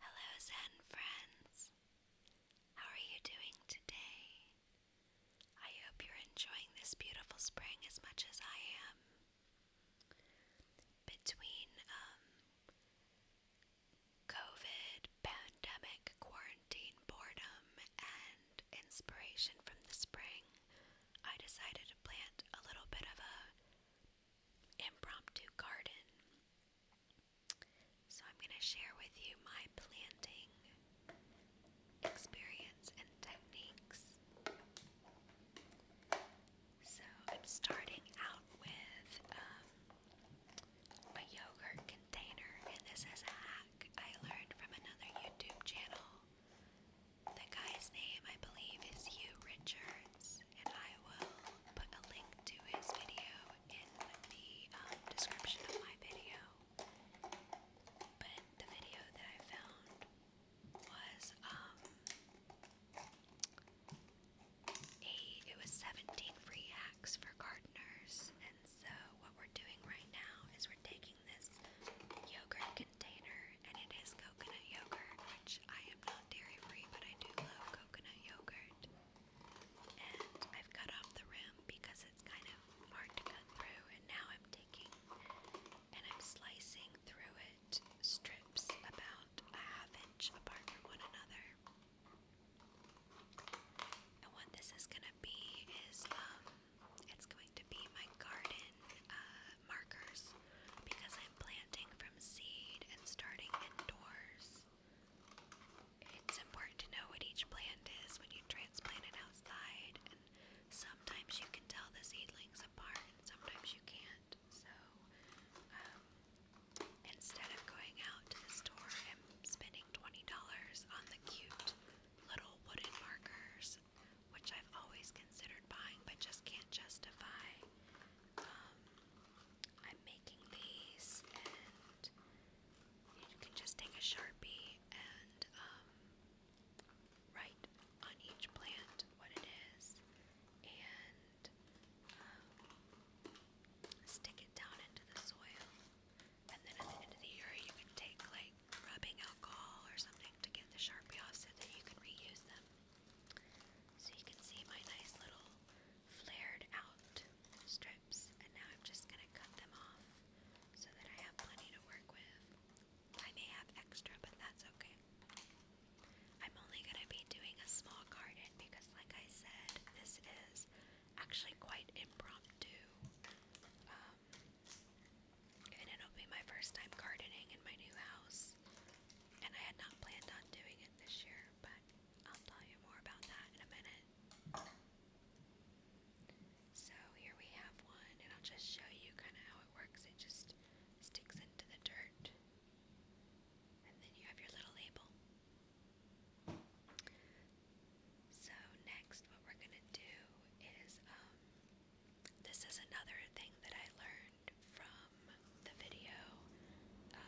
Hello, Zen friends. How are you doing today? I hope you're enjoying this beautiful spring as much as I am. Between um, COVID, pandemic, quarantine, boredom, and inspiration from the spring, I decided to plant a little bit of a impromptu garden. So, I'm going to share with you my planting experience and techniques. So, I'm starting out with um, a yogurt container, and this is a hack I learned from another YouTube channel the guy's name, I believe, is Hugh Richards, and I will put a link to his video in the um, description of my video. But the video that I found was um it was 17 free hacks for gardeners, and so what we're doing right now is we're taking this yogurt container, and it is coconut yogurt, which I am not dairy free, but I do love coconut yogurt. And I've cut off the rim because it's kind of hard to cut through, and now I'm taking and I'm slicing through it strips about a half inch apart from one another. And what this is gonna be is um, it's going to be my garden uh, markers because I'm planting from seed and starting indoors. It's important to know what each plant is when you transplant it outside, and sometimes you can tell the seedlings apart, and sometimes you can't. So, um, instead of going out to the store and spending $20 on the cute little wooden markers, which I've always considered buying but just can't justify. Um, I'm making these, and you can just take a sharpie and um, write on each plant what it is, and um, stick it down into the soil. And then at the end of the year, you can take like rubbing alcohol or something to get the sharpie off so that you can reuse them. So you can see my nice little flared out strips, and now I'm just gonna cut them off so that I have plenty to work with. I may have extra, but that's okay. I'm only gonna be doing a small garden because, like I said, this is actually quite impromptu. Um, and it'll be my first time gardening in my new house. And I had not planned on doing it this year, but I'll tell you more about that in a minute. So here we have one, and I'll just show you kind of how it works. It just sticks into the dirt, and then you have your little label. So next, what we're gonna do is um, this is another thing that I learned learned from the video, uh,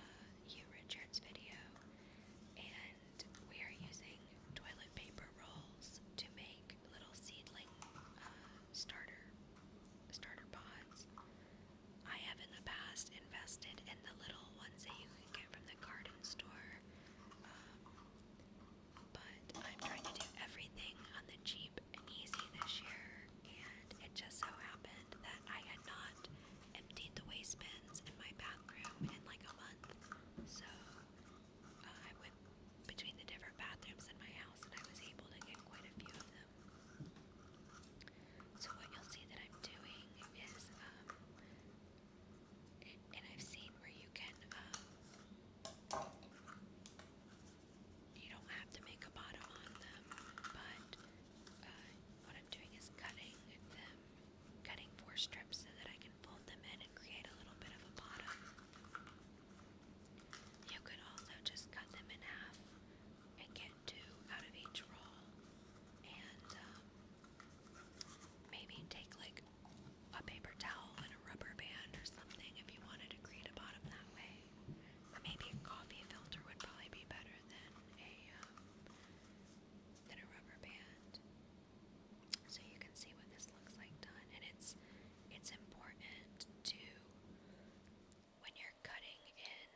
Hugh Richards' video, and we are using toilet paper rolls to make little seedling uh, starter starter pods. I have in the past invested in the little ones that you can get from the garden store, um, but I'm trying to do everything on the cheap and easy this year, and it just so happened that I had not emptied the waste bins in my bathroom in like a month. So uh, I went between the different bathrooms in my house, and I was able to get quite a few of them. So what you'll see that I'm doing is, um, and I've seen where you can. Um, you don't have to make a bottom on them, but uh, what I'm doing is cutting them, cutting four strips so that I can fold them in and create a little bit of a bottom. You could also just cut them in half and get two out of each roll, and um, maybe take like a paper towel and a rubber band or something if you wanted to create a bottom that way. Maybe a coffee filter would probably be better than a um, than a rubber band. So you can see what this looks like done, and it's it's important to when you're cutting in,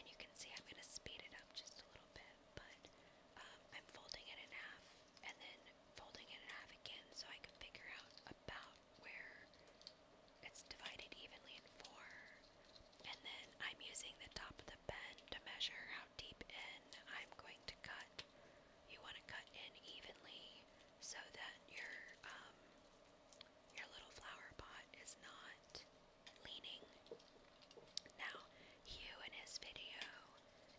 and you can see I'm gonna speed it up just a little bit, but um, I'm folding it in half and then folding it in half again so I can figure out about where it's divided evenly in four. And then I'm using the top of the pen to measure how deep in I'm going to cut. You want to cut in evenly so that your um, your little flower pot is not leaning. Now, Hugh in his video,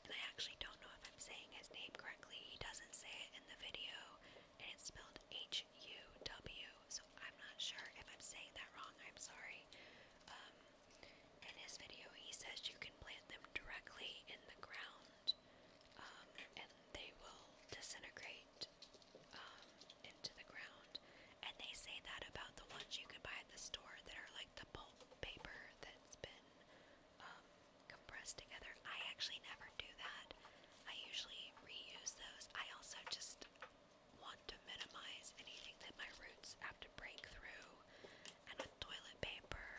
and I actually don't know if I'm saying his name correctly. He doesn't say it in the video, and it's spelled H H-U-W, so I'm not sure if I'm saying that wrong, I'm sorry. Um, in his video, he says you can plant them directly in the ground, um, and they will disintegrate, um, into the ground. And they say that about the ones you can buy at the store that are like the pulp paper that's been, um, compressed together. I actually never do that. I usually reuse those. I also just want to minimize anything that my roots have to break through. And with toilet paper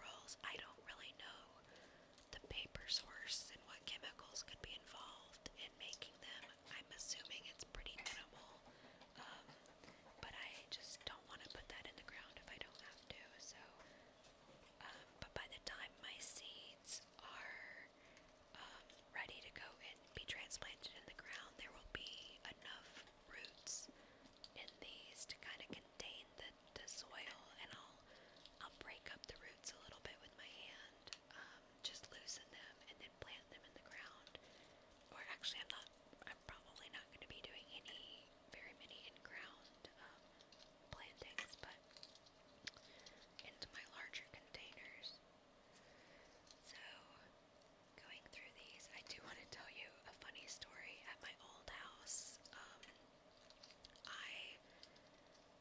rolls, I don't really know the paper source and what chemicals could be involved in making them. I'm assuming it's pretty minimal, um, but I just don't want to put that in the ground if I don't have to. So, um, but by the time my seeds are um, ready to go and be transplanted in the ground, there will be enough roots in these to kind of contain the, the soil, and I'll I'll break up the roots a little bit with my hand, um, just loosen them, and then plant them in the ground. Or actually, I'm not. I'm probably not going to be doing any very many in ground um, plantings, but into my larger containers. So, going through these, I do want to tell you a funny story. At my old house, um, I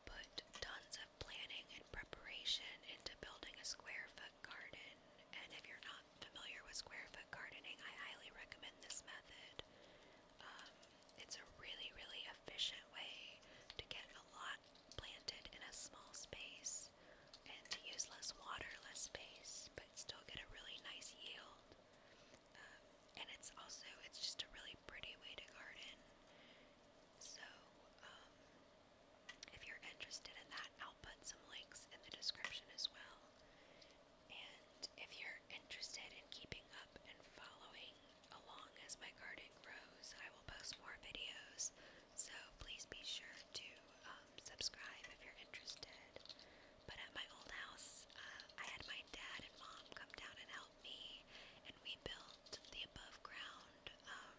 put tons of planning and preparation into building a square foot garden. And if you're not familiar with square foot gardening, I highly recommend this method. Um, it's a really, really efficient way to get a lot planted in a small space and to use less water, less space, but still get a really nice yield. Um, and it's also, it's just a really pretty way to garden. So, um, if you're interested in that, I'll put some links in the description as well. And if you're interested in keeping up and following Along as my garden grows, I will post more videos, so please be sure to um, subscribe if you're interested. But at my old house, uh, I had my dad and mom come down and help me, and we built the above ground um,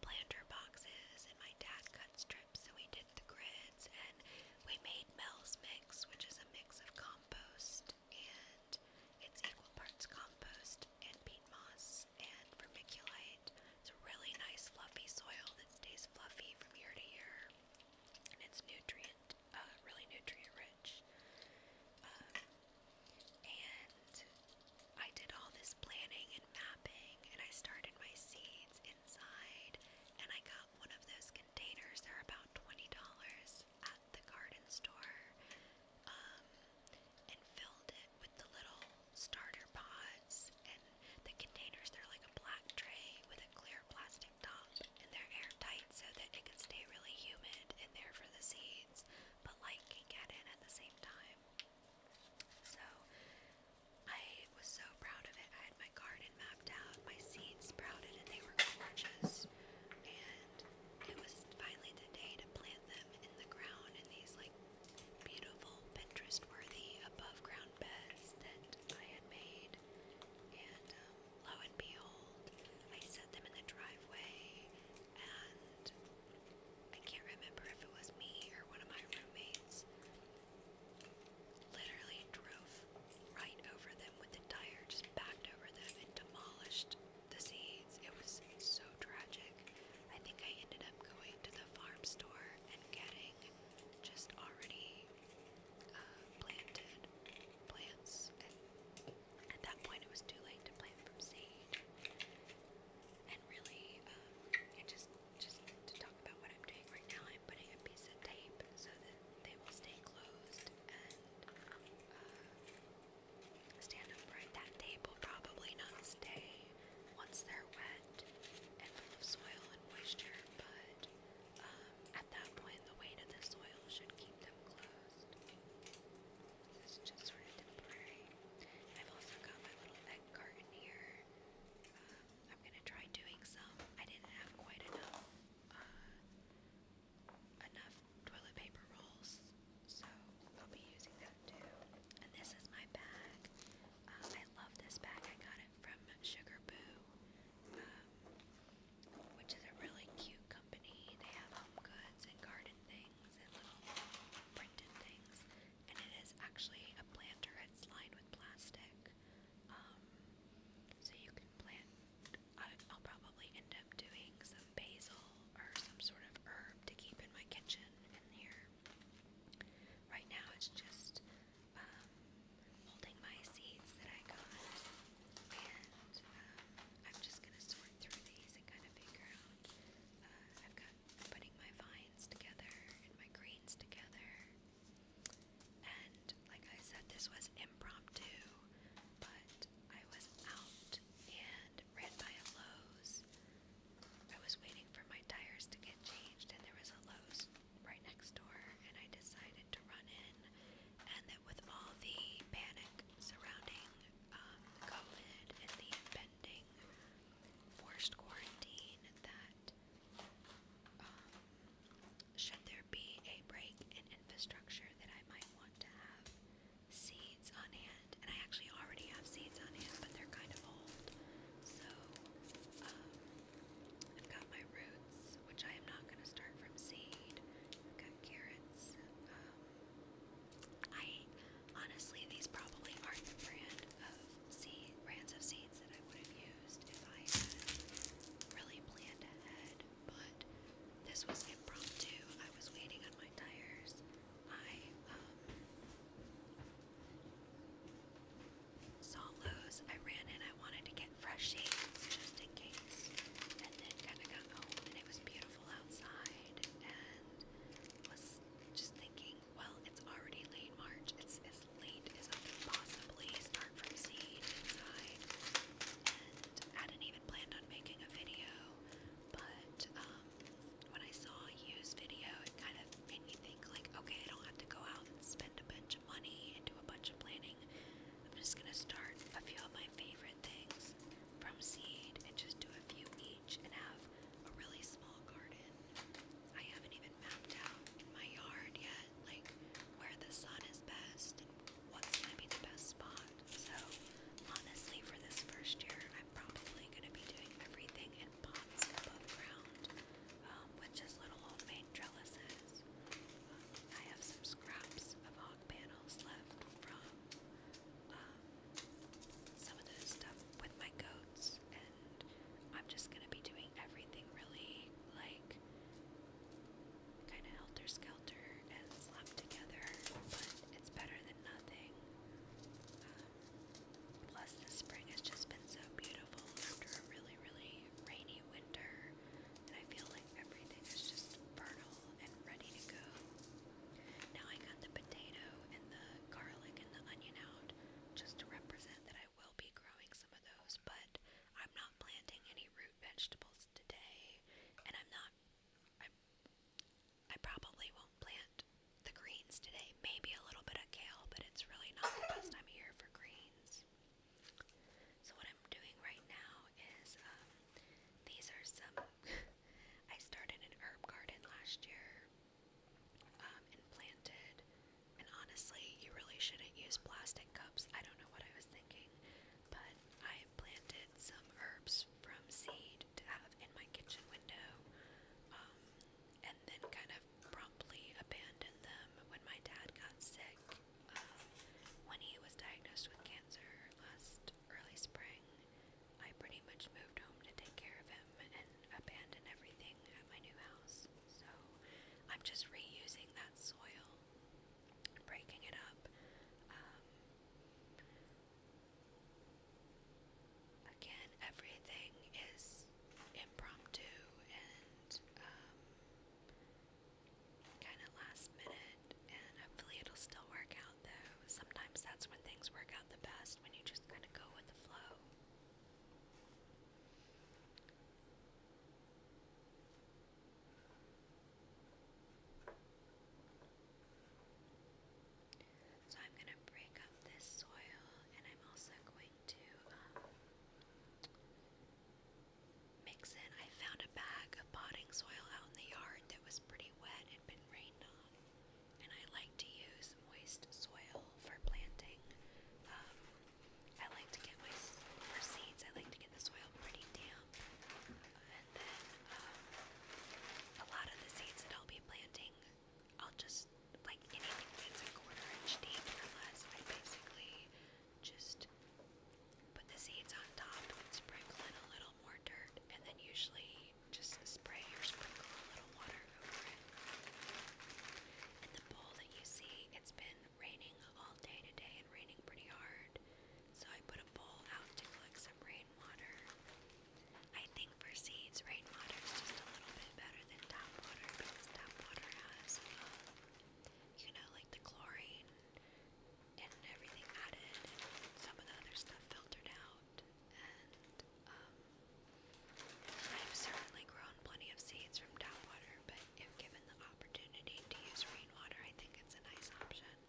planter boxes, and my dad cut strips, so we did the grids, and we made Mel's Mix, which is a mix of compost and it's equal parts compost and peat moss and vermiculite. It's a really nice fluffy soil that stays fluffy from year to year, and it's nutrient, uh, really nutrient rich. Um, and I did all this planning and mapping, and I started my seeds inside, and I got one of those containers. They're about twenty dollars at the garden store, um, and filled it with the little starter pods and the containers. They're like a black tray with a clear plastic top, and they're airtight so that it can stay really humid in there for the seeds, but light can get in at the same time. So I was so proud of it. I had my garden mapped out, my seeds sprouted, and they were gorgeous. And it was finally the day to plant them in the ground in these like beautiful Pinterest-worthy above-ground beds that I had made. And um, lo and behold, I set them in the driveway, and I can't remember if it was me or one of my roommates. Literally drove right over them with the tire, just backed over them and demolished the seeds. It was so tragic. I think I ended up going to the farm store and getting just already uh, planted plants. at that point, it was too late to plant from seed. And really, um, just just to talk about what I'm doing right now, I'm putting a piece of tape so that they will stay closed uh, stand upright. That tape probably not stay once they're wet and full of soil and moisture, but um, at that point, the weight of the soil should keep them closed. This is just sort temporary. I've also got my little egg carton here. Um, I'm gonna try doing some. I didn't have quite enough uh, enough toilet paper rolls, so I'll be using that too. And this is my bag. Um, I love this bag. I got it from Sugarboo, um, which is a really cute company. They have home goods and garden things and little printed things. And it is actually a planter. It's lined with plastic. Um, so you can plant. I'll probably probably end up doing some basil or some sort of herb to keep in my kitchen in here. Right now it's just um, holding my seeds that I got, and um, I'm just going to sort through these and kind of figure out. Uh, I've got putting my vines together and my greens together, and like I said, this was impromptu, but I was out and ran by a Lowe's. I was waiting for my tires to get changed, and there was a Lowe's right next door, and I decided to run in. And that with all the panic surrounding um, COVID and the impending forced quarantine, that um, should there be a break in infrastructure that I might want to have seeds on hand, and I actually already have seeds on hand, but they're kind of old. So um, I've got my roots, which I am not going to start from seed. I've got carrots. Um, I honestly, these probably aren't the brand of seed brands of seeds that I would have used if I had really planned ahead, but this was impromptu. I was waiting on my tires. I saw Lowe's. I ran in. I wanted to get fresh shades just in case. And then kind of got home and it was beautiful outside. And was just thinking, well, it's already late March. It's as late as I can possibly start from seed inside. And I hadn't even planned on making a video but um, when I saw a used video, it kind of made me think like, okay, I don't have to go out and spend a bunch of money and do a bunch of planning. I'm just gonna start a few of my favorite things from seed and just do a few each and have a really small garden. I haven't even mapped out my yard yet, like where the sun is best and what's gonna be the best spot. So honestly, for this first year, I'm probably going to be doing everything in pots above ground um, with just little homemade trellises. Um, I have some scraps of hog panels left from um, some of the stuff with my goats, and I'm just going to be doing everything really like kind of helter skelter and slept together, but it's better than nothing. Um, plus, the spring has just been so beautiful after a really, really rainy winter, and I feel like everything is just fertile and ready to go. Now, I got the potato and the garlic and the onion out just to represent that I will be growing some of those, but I'm not planting any root vegetables today, and I'm not. I probably won't plant the greens today. Maybe a little bit of kale, but it's really not the best time of year for greens. So what I'm doing right now is um, these are some. I started an herb garden last year um, and planted. And honestly, you really shouldn't use plastic cups. I don't know what I was thinking, but I planted some herbs from seed in my kitchen window, um, and then kind of promptly abandoned them when my dad got sick um, when he was diagnosed with cancer last early spring. I pretty much moved home to take care of him and abandon everything at my new house. So I'm just reusing that soil, breaking it up, um, Again, everything is impromptu and um, kind of last minute, and hopefully it'll still work out though. Sometimes that's when things work out the best, when you just kind of go with the flow. So I'm going to break up this soil and I'm also going to um, mix in. I found a bag of potting soil out in the yard that was pretty wet, it had been rained on. And I like to use moist soil for planting. Um, I like to get my for seeds. I like to get the soil pretty damp, uh, then um, a lot of the seeds that I'll be planting, I'll just, like anything that's a quarter inch deep or less, I basically just put the seeds on top sprinkle in a little more dirt, and then usually just spray or sprinkle a little water over it. And the bowl that you see, it's been raining all day today and raining pretty hard. So I put a bowl out to collect some rain rainwater. I think for seeds, rainwater is just a little bit better than tap water because tap water has, um, you know, like the chlorine and everything added, and some of the other stuff filtered out. And um, I've certainly grown plenty of seeds from tap water, but if given the opportunity to use rainwater, I think it's a nice option.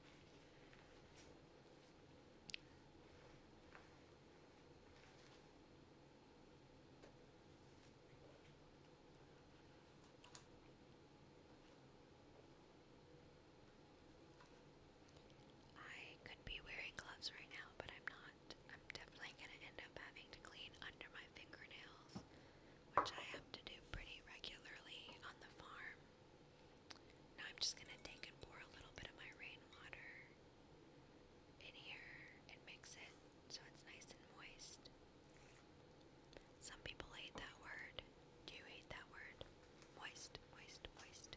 I could be wearing gloves right now, but I'm not. I'm definitely going to end up having to clean under my fingernails, which I have to do pretty regularly on the farm. Now I'm just gonna take and pour a little bit of my rainwater in here and mix it so it's nice and moist. Some people hate that word. Do you hate that word? Moist, moist, moist.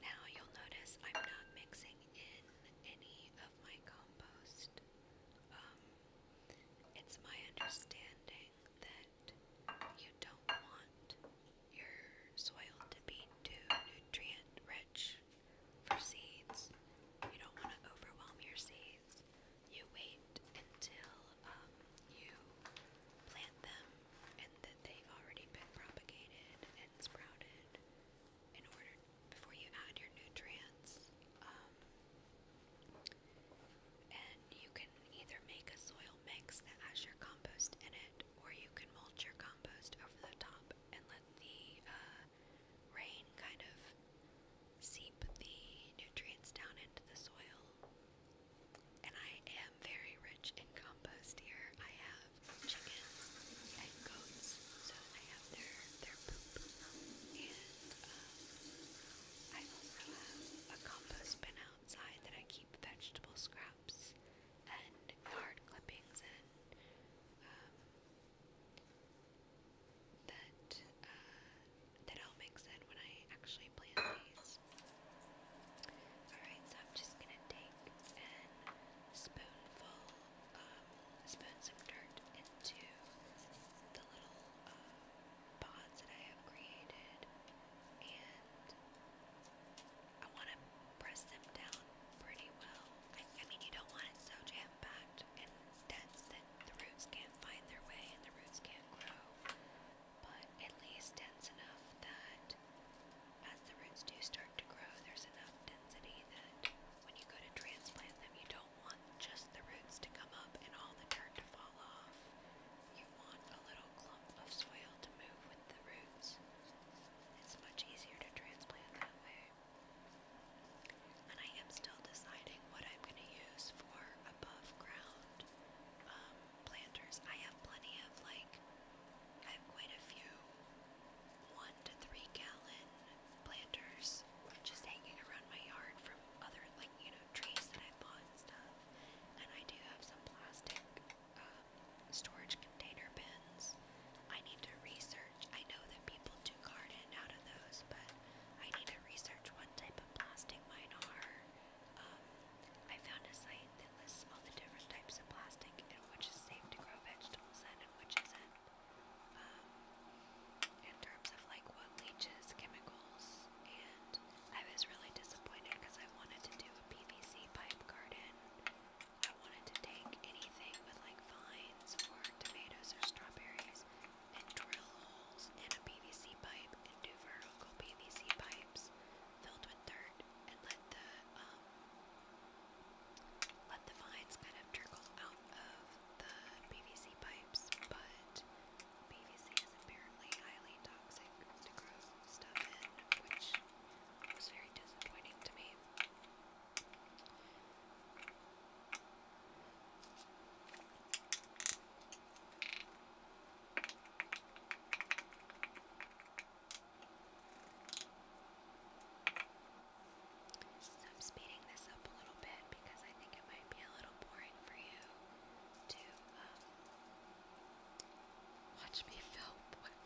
Now you'll notice I'm not mixing in any of my compost. Um, it's my understanding that you don't want your soil to be too nutrient rich for seeds. You don't want to overwhelm your seeds. You wait until um, you plant them and that they've already been propagated and sprouted in order before you add your nutrients. Um, and you can either make a soil mix that has your compost in it, or you can mulch your compost over the top and let the uh, rain kind of seep the nutrients down into the soil. And I am very rich in compost here. I have chickens and goats, so I have their, their poop. And um, I also have a compost bin outside that I keep vegetable scraps and yard clippings in. Um, that, uh, that I'll mix in when I actually plant these. Alright, so I'm just gonna take an spoonful um, spoon some dirt into the little uh, pods that I have created, and I want to press them down pretty well. I, I mean, you don't want it so jam packed and dense that the roots can't find their way and the roots can't grow, but at least dense enough that as the roots do start to grow, there's enough density that when you go to transplant them, you don't want just the roots to come up and all the dirt to fall off. You want a little clump of soil to move with the roots. It's much easier to transplant that way. And I am still deciding what I'm going to use for above ground um, planters. I have plenty of, like, I have quite a few one to three gallon planters just hanging around my yard from other, like, you know, trees that I bought and stuff. And I do have some plastic um, storage container bins. I need to research. I know that people do garden out of those, but I need to research what type of plastic mine are. Um, I found a site that lists all the different types of plastic and which is safe to grow vegetables in and which isn't. Um, in terms of like what leaches chemicals, and I was really disappointed because I wanted to do a PVC pipe garden. I wanted to take anything with like vines or tomatoes or strawberries and drill holes in a PVC pipe and do vertical PVC pipes filled with dirt and let the um, let the vines kind of trickle out of the PVC pipes, but PVC is apparently highly toxic to grow stuff in, which was very disappointing to me. So I'm speeding this up a little bit because I think it might be a little boring for you to um, watch me fill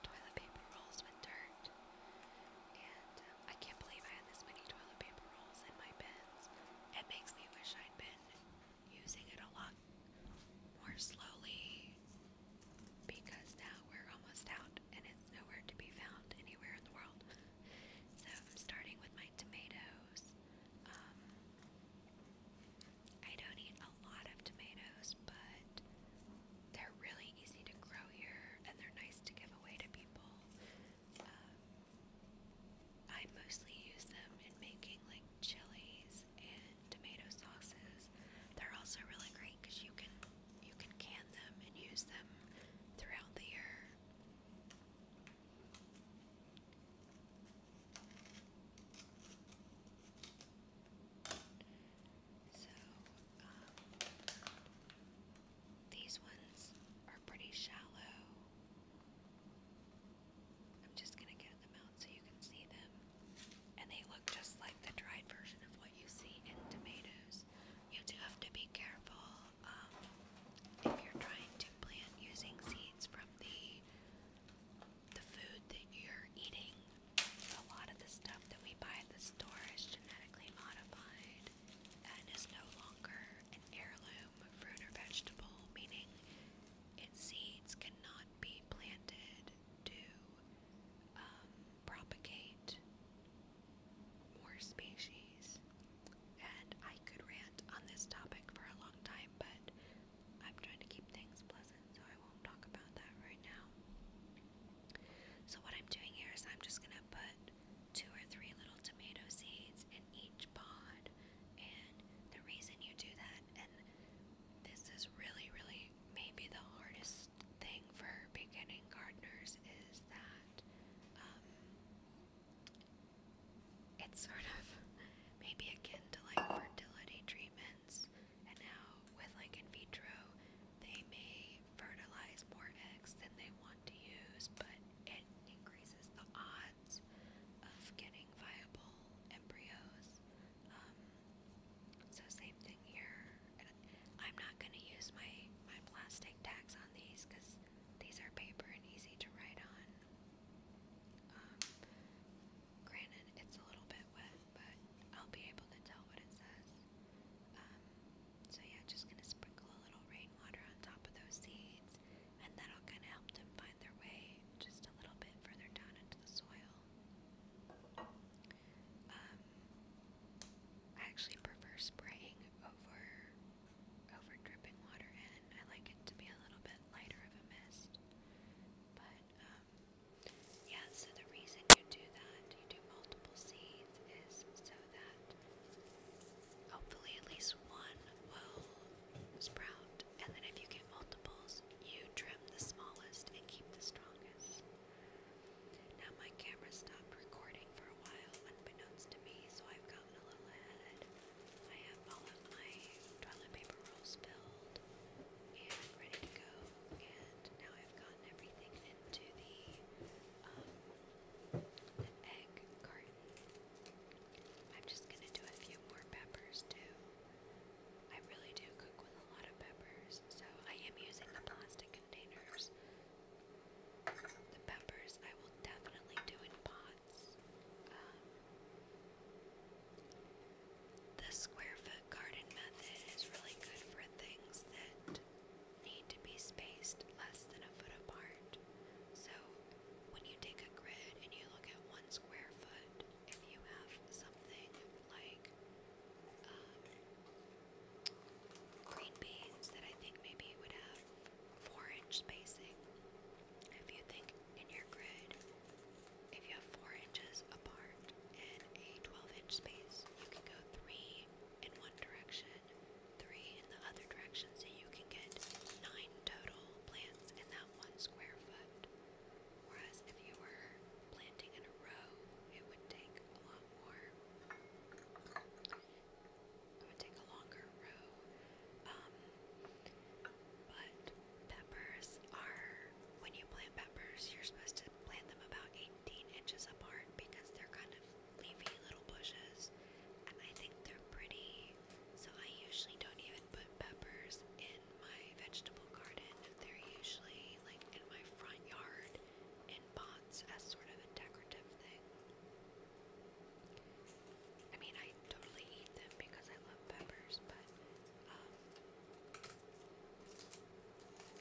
toilet paper rolls with dirt. And um, I can't believe I had this many toilet paper rolls in my bins. It makes me wish I'd been using it a lot more slowly because now we're almost out and it's nowhere to be found anywhere in the world. So I'm starting with my tomatoes. Um, I don't eat a lot of tomatoes, but they're really easy to grow here and they're nice to give away to people. Um, I mostly use them in making like chilies and tomato sauces. They're also really great because you can you can can them and use them throughout the year. So, um, these ones are pretty shallow. I'm just going to get them out so you can see them. And they look just like the dried version of what you see in tomatoes. You do have to be careful um, if you're trying to plant using seeds from the the food that you're eating, a lot of the stuff that we buy at the store is genetically modified and is no longer an heirloom fruit or vegetable, meaning its seeds cannot be planted to um, propagate more species. And I could rant on this topic for a long time, but I'm trying to keep things pleasant, so I won't talk about that right now. So, what I'm doing here is I'm just gonna put two or three little tomato seeds in each pod, and the reason you do that, and this is really, really maybe the hardest thing for beginning gardeners, is that um, it's sort of maybe akin to like fertility treatments, and now with like in vitro, they may fertilize more eggs than they want to use, but it increases the odds of getting viable embryos. Um, so same thing here. And I'm not gonna use my my plastic tags on these because these are paper and easy to write on. Um, granted, it's a little bit wet, but I'll be able to tell what it says. Um, so yeah, just gonna sprinkle a little rainwater on top of those seeds, and that'll kind of help them find their way just a little bit further down into the soil. Um, I actually prefer spraying over over dripping water in. I like it to be a little bit lighter of a mist. But, um, yeah, so the reason you do that, you do multiple seeds, is so that hopefully at least one will sprout. And then if you get multiples, you trim the smallest and keep the strongest. Now my camera stopped recording for a while, unbeknownst to me, so I've got phenomenal ad. I have all of my toilet paper rolls filled and ready to go. And now I've gotten everything into the um, egg carton. I'm just gonna do a few more peppers too. I really do cook with a lot of peppers, so I am using the plastic containers the peppers I will definitely do in pots. Um, the square foot garden method is really good for things that need to be spaced less than a foot apart. So when you take a grid and you look at one square foot, if you have something like um, green beans that I think maybe would have four inch spacing. If you think in your grid, if you have four inches apart in a 12 inch space, you can go three in one direction, three in the other direction, so you can get nine total plants in that one square foot. Whereas if you were planting in a row, it would take a lot more. I would take a longer row. Um, but peppers are, when you plant peppers, you're supposed to plant them about 18 inches apart because they're kind of leafy little bushes. And I think they're pretty, so I usually don't even put peppers in my vegetable garden. They're usually like in my front yard in pots as sort of a decorative thing. I mean, I totally eat them because I love peppers, but um,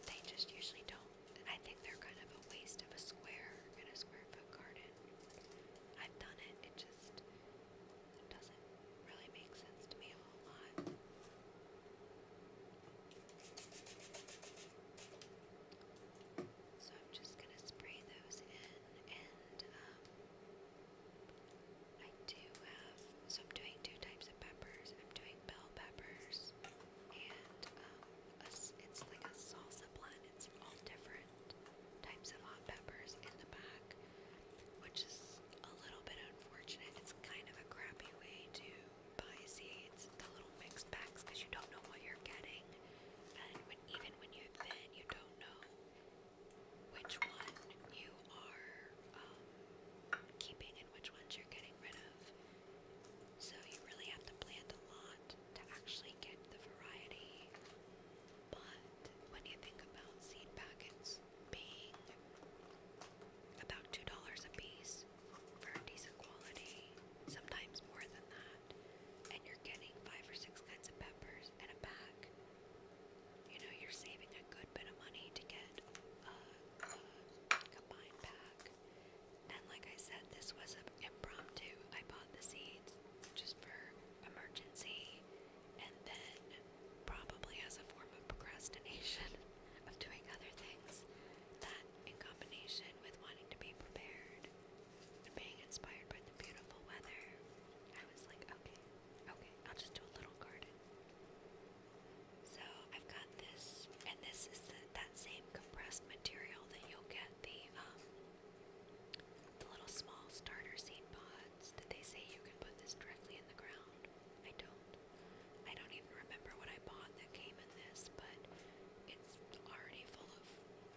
they just usually don't. I think they're kind of a waste of a square in a square foot garden. I've done it, it just doesn't really make sense to me a whole lot. So I'm just going to spray those in and um, I do have, so I'm doing two types of peppers. I'm doing bell peppers and um, it's like a salsa blend. It's all different types of hot peppers in the back, which is a little bit unfortunate. It's kind of a crappy way to buy seeds, the little mixed packs, because you don't know what you're getting when even when you're thin, you don't know which one you are um, keeping and which ones you're getting rid of. So you really have to plant a lot to actually get the variety. But when you think about seed packets being about $2 a piece for decent quality, sometimes more than that, that, and you're getting five or six kinds of peppers in a pack, you know, you're saving a good bit of money to get a, a combined pack. And like I said, this was an impromptu. I bought the seeds just for emergency, and then probably as a form of procrastination of doing other things. That in combination with wanting to be prepared and being inspired by the beautiful weather, I was like, okay, okay, I'll just do a little garden. So I've got this, and this is that same compressed material that you'll get the um, the little small starter seed pods that they say you can put this directly in the ground. I don't, I don't even remember what I bought that came in this, but it's already full of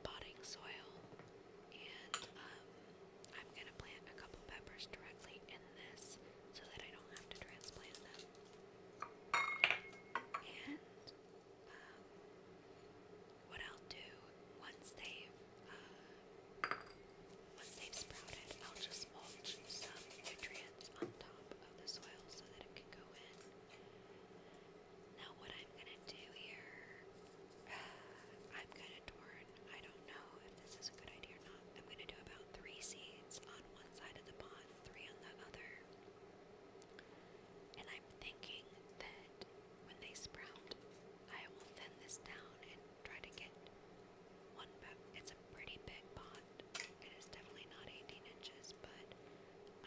potting soil, and um, I'm gonna plant a couple peppers directly in this so that I don't have to transplant them. And um, what i do once they uh, once they sprouted, I'll just mulch some nutrients on top of the soil so that it can go in. Now what I'm gonna do here, I'm kinda torn. I don't know if this is a good idea or not. I'm gonna do about three seeds on one side of the pond, three on the other. And I'm thinking that when they sprout, I will thin this down and try to get one back. It's a pretty big pond. It is definitely not 18 inches, but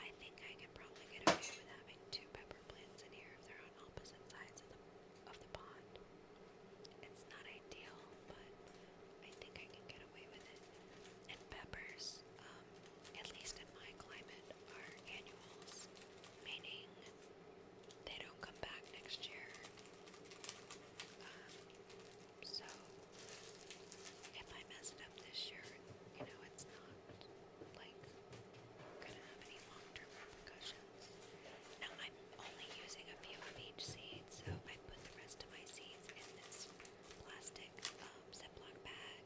I think I can probably get away with having two pepper plants in here if they're opposite sides of the of the pond. It's not ideal, but I think I can get away with it. And peppers, um, at least in my climate, are annuals, meaning they don't come back next year. Um, so if I mess it up this year, you know, it's not like gonna have any long-term repercussions. Now I'm only using a few of each seed, so I put the rest of my seeds in this plastic um, bag.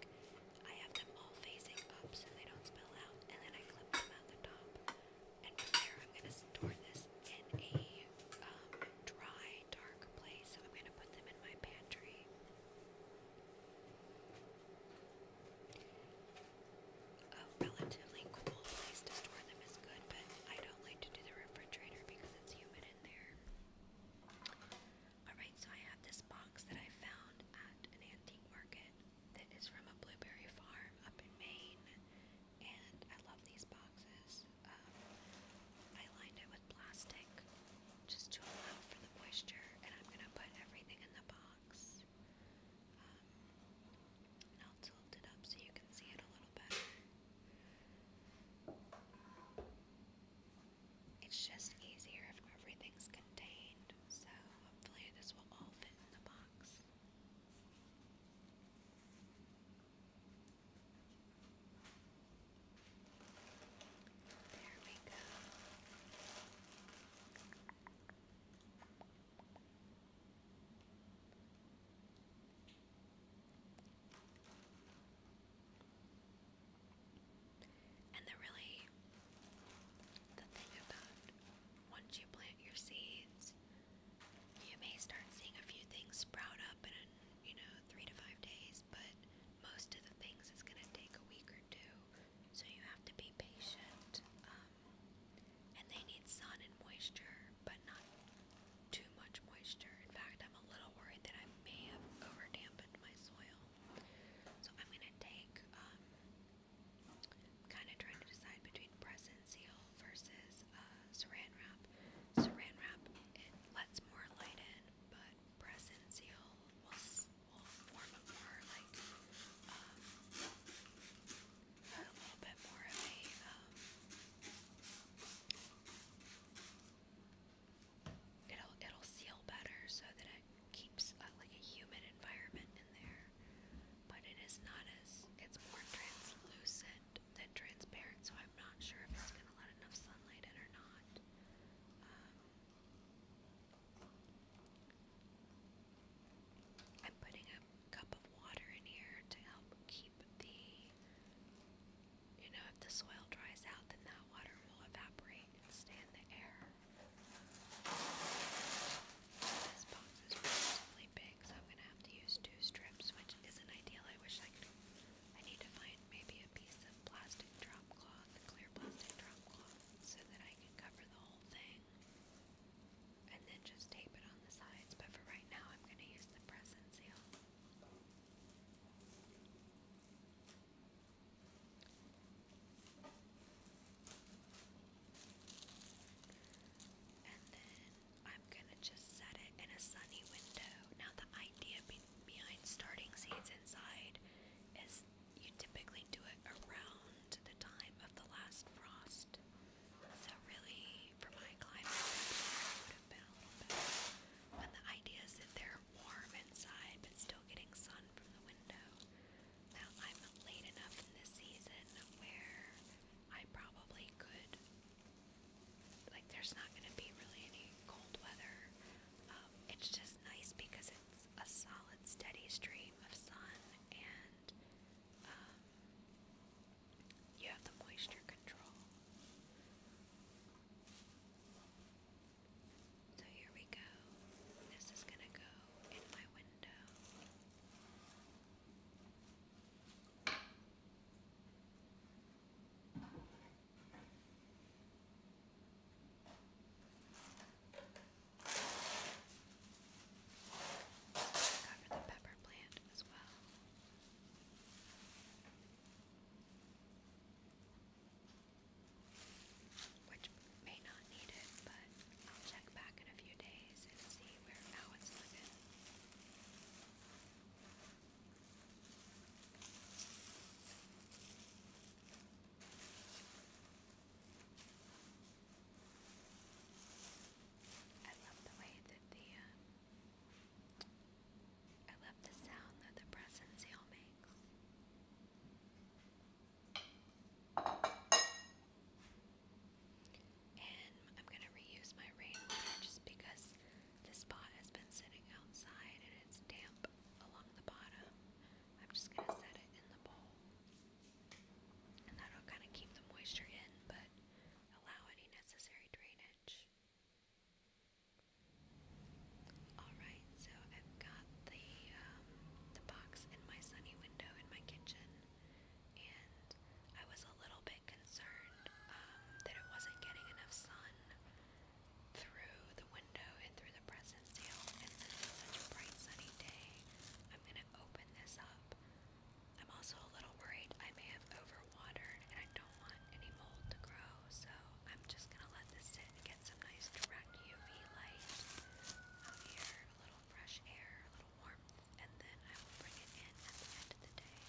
I have them all facing up so they don't spill out, and then I clip them on the top. And from there, I'm gonna store this in a um, dry, dark place. I'm gonna put them in my pantry. A relatively cool place to store them is good, but I don't like to do the refrigerator because it's humid in there. Alright, so I have this box that I found at an antique market that is from a blueberry farm up in Maine, and I love these boxes. Um, I lined it with plastic just to allow for the moisture, and I'm going to put everything in the box. Um, it's just easier if everything's contained, so hopefully this will all fit in the box. There we go. And the really the thing about once you plant your seeds, you may start seeing a few things sprout up in you know three to five days, but most of the things it's gonna take a week or summer so you have to be patient. Um, and they need sun and moisture, but not too much moisture. In fact, I'm a little worried that I may have over dampened my soil. So I'm going to take, um, kind of trying to decide between press and seal versus uh, saran wrap. Saran wrap, it lets more light in, but press and seal will form it'll it'll seal better so that it keeps like a humid environment in there. But it is not as it's more translucent than transparent, so I'm not sure if it's gonna let enough sunlight in or not. I'm putting a cup of water in here to help keep the, you know, if the soil dries out, then that water will evaporate and stay in the air. This box is relatively big, so I'm going to have to use two strips, which isn't ideal. I wish I could. I need to find maybe a piece of plastic drop cloth, clear plastic drop cloth, so that I can cover the whole thing something and then just tape it on the sides. But for right now, I'm going to use the press and seal. And then I'm going to just set it in a sunny window. Now, the idea behind starting seeds inside is you typically do it around the time of the last frost. So really, for my climate, would have been a little bit. But the idea is that they're warm inside, but still getting sun from the window. Now I'm late enough in this season where I probably could. Like, there's not going to be really any cold weather. Um, it's just nice because it's a solid, steady stream of sun and um, you have the moisture control. So here we go. This is going to go in my window. Cover the pepper plant as well. Which may not need it, but I'll check back in a few days and see where how it's looking. I love the way that the uh, I love the sound that the pressing makes. And I'm gonna reuse my rainwater just because this pot has been sitting outside and it's damp along the bottom. I'm just gonna set it in the bowl. And that'll kind of keep the moisture in, but allow any necessary drainage. Alright, so I've got the, um, the box in my sunny window in my kitchen, and I was a little bit concerned um, that it wasn't getting enough sun through the window and through the press and since it's such a bright sunny day, I'm gonna open this up. I'm also a little worried I may have overwatered and I don't want any mold to grow, so I'm just gonna let this sit get some nice direct UV light out here, a little fresh air, a little warmth, and then I will bring it in at the end of the day.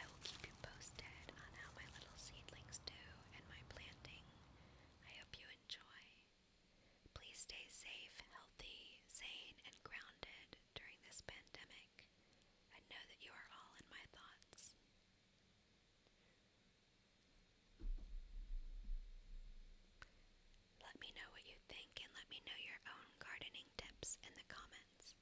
I will keep you posted on how my little seedlings do and my planting. I hope you enjoy. Please stay safe, healthy, sane, and grounded during this pandemic. I know that you are all in my thoughts. Let me know what you think and let me know your own gardening tips in the comments.